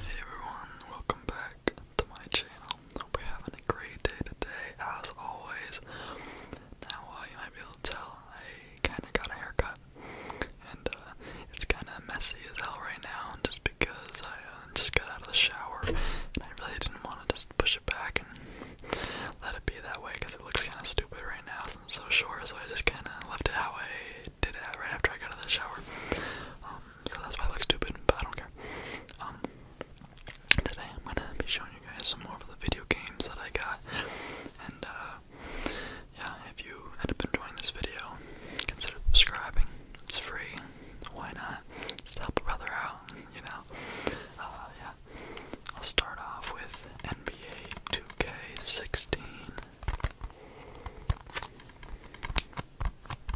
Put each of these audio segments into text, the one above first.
Hey everyone, welcome back to my channel. Hope you're having a great day today, as always. Now, you might be able to tell, I kinda got a haircut. And, uh, it's kinda messy as hell right now, just because I uh, just got out of the shower. And I really didn't want to just push it back and let it be that way, because it looks kinda stupid right now it's so short, so I just kinda left it how I did it right after I got out of the shower. Um, so that's why I look stupid, but I don't care. Um, today I'm gonna be showing you guys some more of the video games that I got, and uh, yeah, if you end up enjoying this video, consider subscribing. It's free. Why not? Just help a brother out, you know. Uh, yeah. I'll start off with NBA 2K16.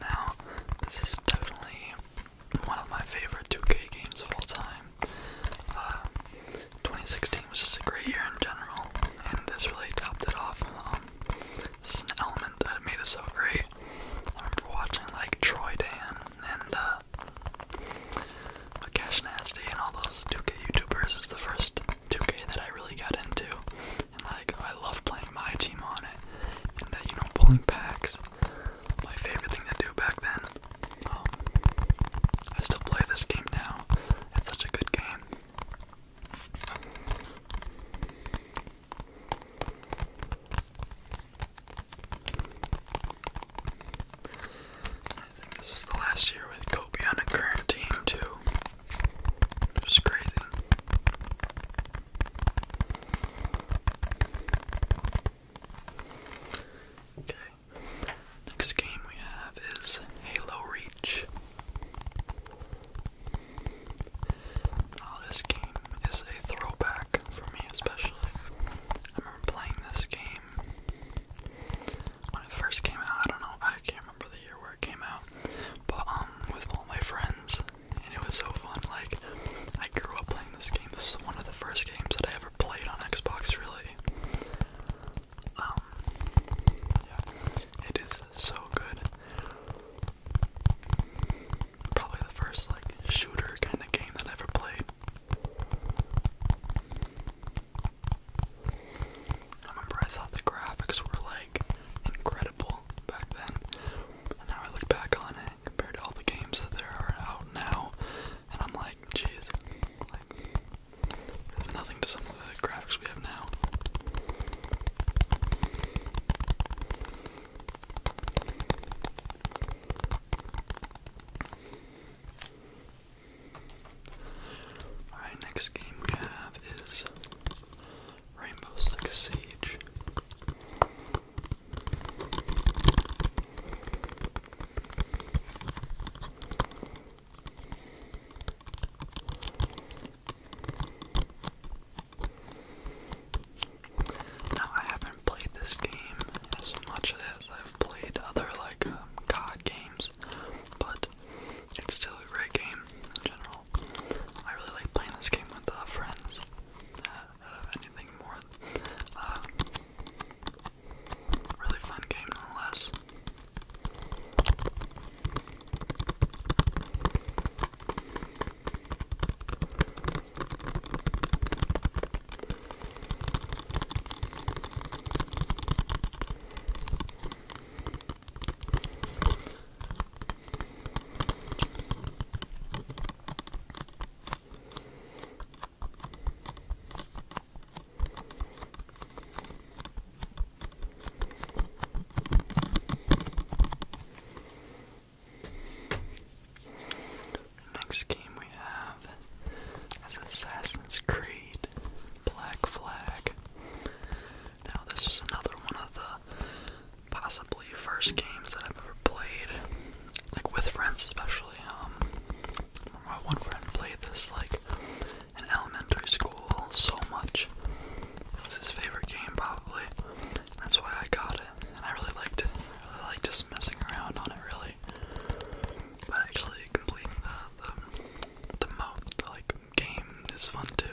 Now, this is definitely one of my favorite 2K games of all time. Uh, 2016 was just a great year in general, and this really topped it off. Um, this is an element that made it so great. I remember watching like Troy Dan and uh, but Cash Nasty and all those 2K YouTubers is the first 2K that I really got into. And like, I love playing my team on it. And that, you know, pulling packs, my favorite thing to do back then. Um, I still play this game now. It's such a good game. This is the last year with Kobe on a current too. It was crazy. Okay. Next game we have is Halo Reach. Now oh, this game is a throwback for me especially. I remember playing this game when it first came out. I don't know, I can't remember the year where it came out, but um, with all my friends, and it was so fun. Like, I grew up playing this game. This is one of the first games that I ever played on Xbox, really. Um, it is so good. Probably the first like shooter kind of game that I ever played. I remember I thought the graphics were like incredible back then, and now I look back on it compared to all the games that are out now, and I'm like, jeez, like it's nothing to some of the graphics we have now. Alright, next game we have is Rainbow Six Siege. Now, I haven't played this game as much as I've played other like um, COD games, but it's still a great game in general. I really like playing this game with uh, friends. Uh, out of anything more, um, really fun game nonetheless. Next game we have is Assassin's Creed Black Flag. Now, this was another one of the possibly first games that I've ever played, like with friends, especially. Um, my one friend played this like in elementary school so much. It was his favorite game, probably. That's why I got it, and I really liked it. I really liked just messing around on it, really. But actually completing the the, the mode like game is fun too.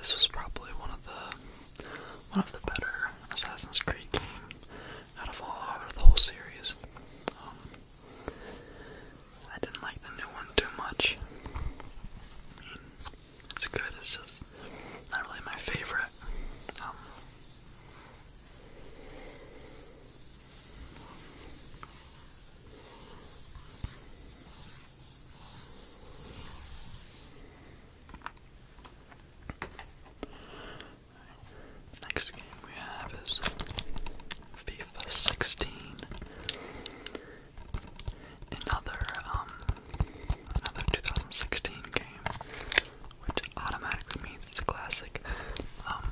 This was probably one of the one of the better Assassin's Creed games out of all of the whole series. Um, I didn't like the new one too much. it's good, it's just not really my favorite. Um, Next game we have is FIFA 16. Another um another 2016 game, which automatically means it's a classic. Um,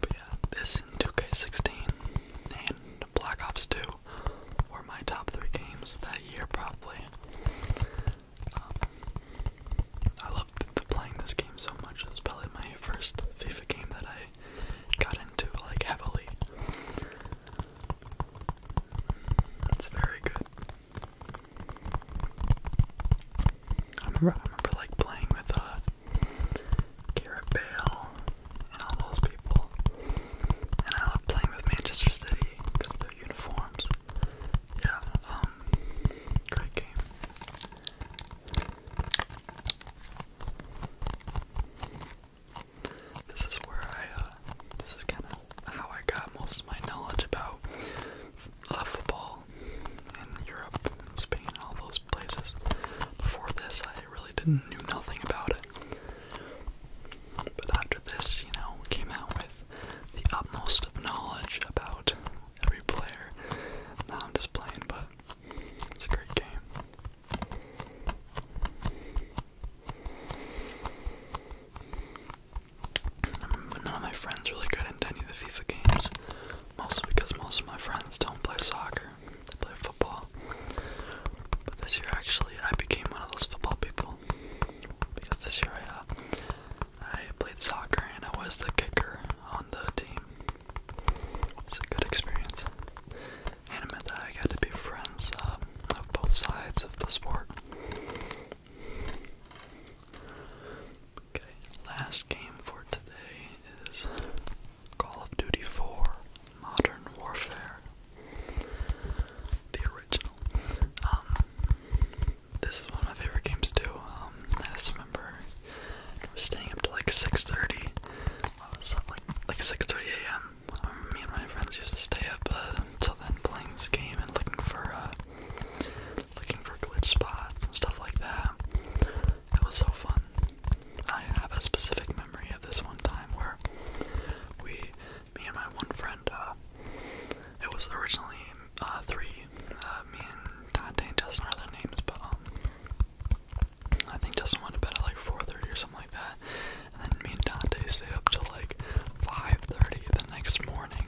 but yeah, this and 2K16 and Black Ops 2 were my top three games that year, probably. Um, I loved playing this game so much. It was probably my first FIFA game that I got into like heavily. It's very good. I remember, I remember like playing with uh, Bale and all those people, and I love playing with Manchester City because of their uniforms. Yeah, um, great game. This is where I, uh, this is kind of how I got most of my knowledge about uh, football in Europe and Spain all those places. Before this, I really didn't knew nothing about it. But after this, you know, came out with the utmost of knowledge about every player. Now I'm just playing, but it's a great game. None my friends really got into any of the FIFA games, mostly because most of my friends don't play soccer, they play football. But this year, actually, I became one of those football people because this year I, uh, I played soccer and I was the kicker on the team. It's a good experience. And I meant that I got to be friends uh, of both sides of the sport. Okay, last game for today is Call of Duty 4 Modern Warfare. The original. Um, this is one of my favorite games too. Um, I remember we're staying up to like 6.30. like, 6.30 a.m. Um, me and my friends used to stay up uh, until then playing this game and looking for, uh, looking for glitch spots and stuff like that. It was so fun. I have a specific memory of this one time where we, me and my one friend, uh, it was originally uh, three, uh, me and Dante and Justin are their names, but um, I think Justin went to bed at like 4:30 or something like that, and then me and Dante stayed up till like 5:30 the next morning.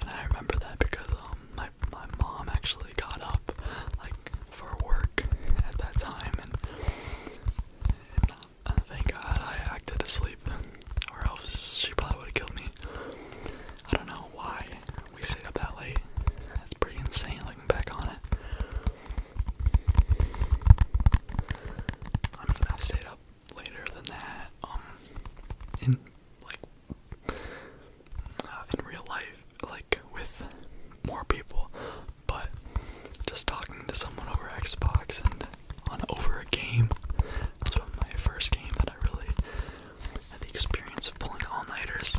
And I remember that because um my my mom actually got up like for work at that time, and, uh, thank God I acted asleep, or else she probably would have killed me. I don't know why we stayed up that late. That's pretty insane looking back on it. I mean, I've stayed up later than that, um, in, like, uh, in real life, like, with more people, but just talking to someone over Xbox and on over a game, that's one my first game that I really had the experience of pulling all-nighters.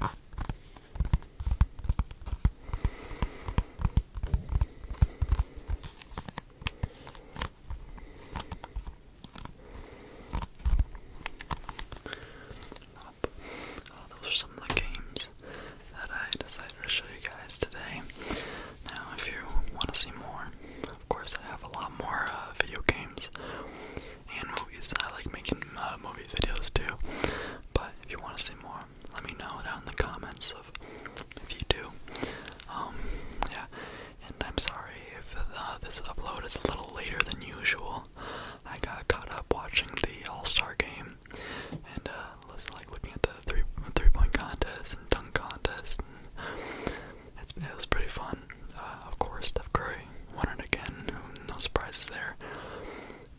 Oh, those are some of the games that I decided to show you guys today. Now, if you want to see more, of course, I have a lot more uh, video games and movies. I like making uh, movie videos too. But if you want to see more, let me know down in the comments if you do. Um, yeah, and I'm sorry if uh, this upload is a little later than usual. I got caught up watching the All Star game and uh, was like looking at the three point contest and dunk contest. it was pretty fun. Uh, of course, Steph Curry won it again. No surprises there.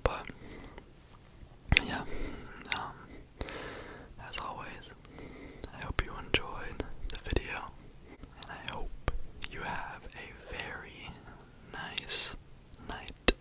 But yeah, um, as always, I hope you enjoyed the video, and I hope you have a very nice night.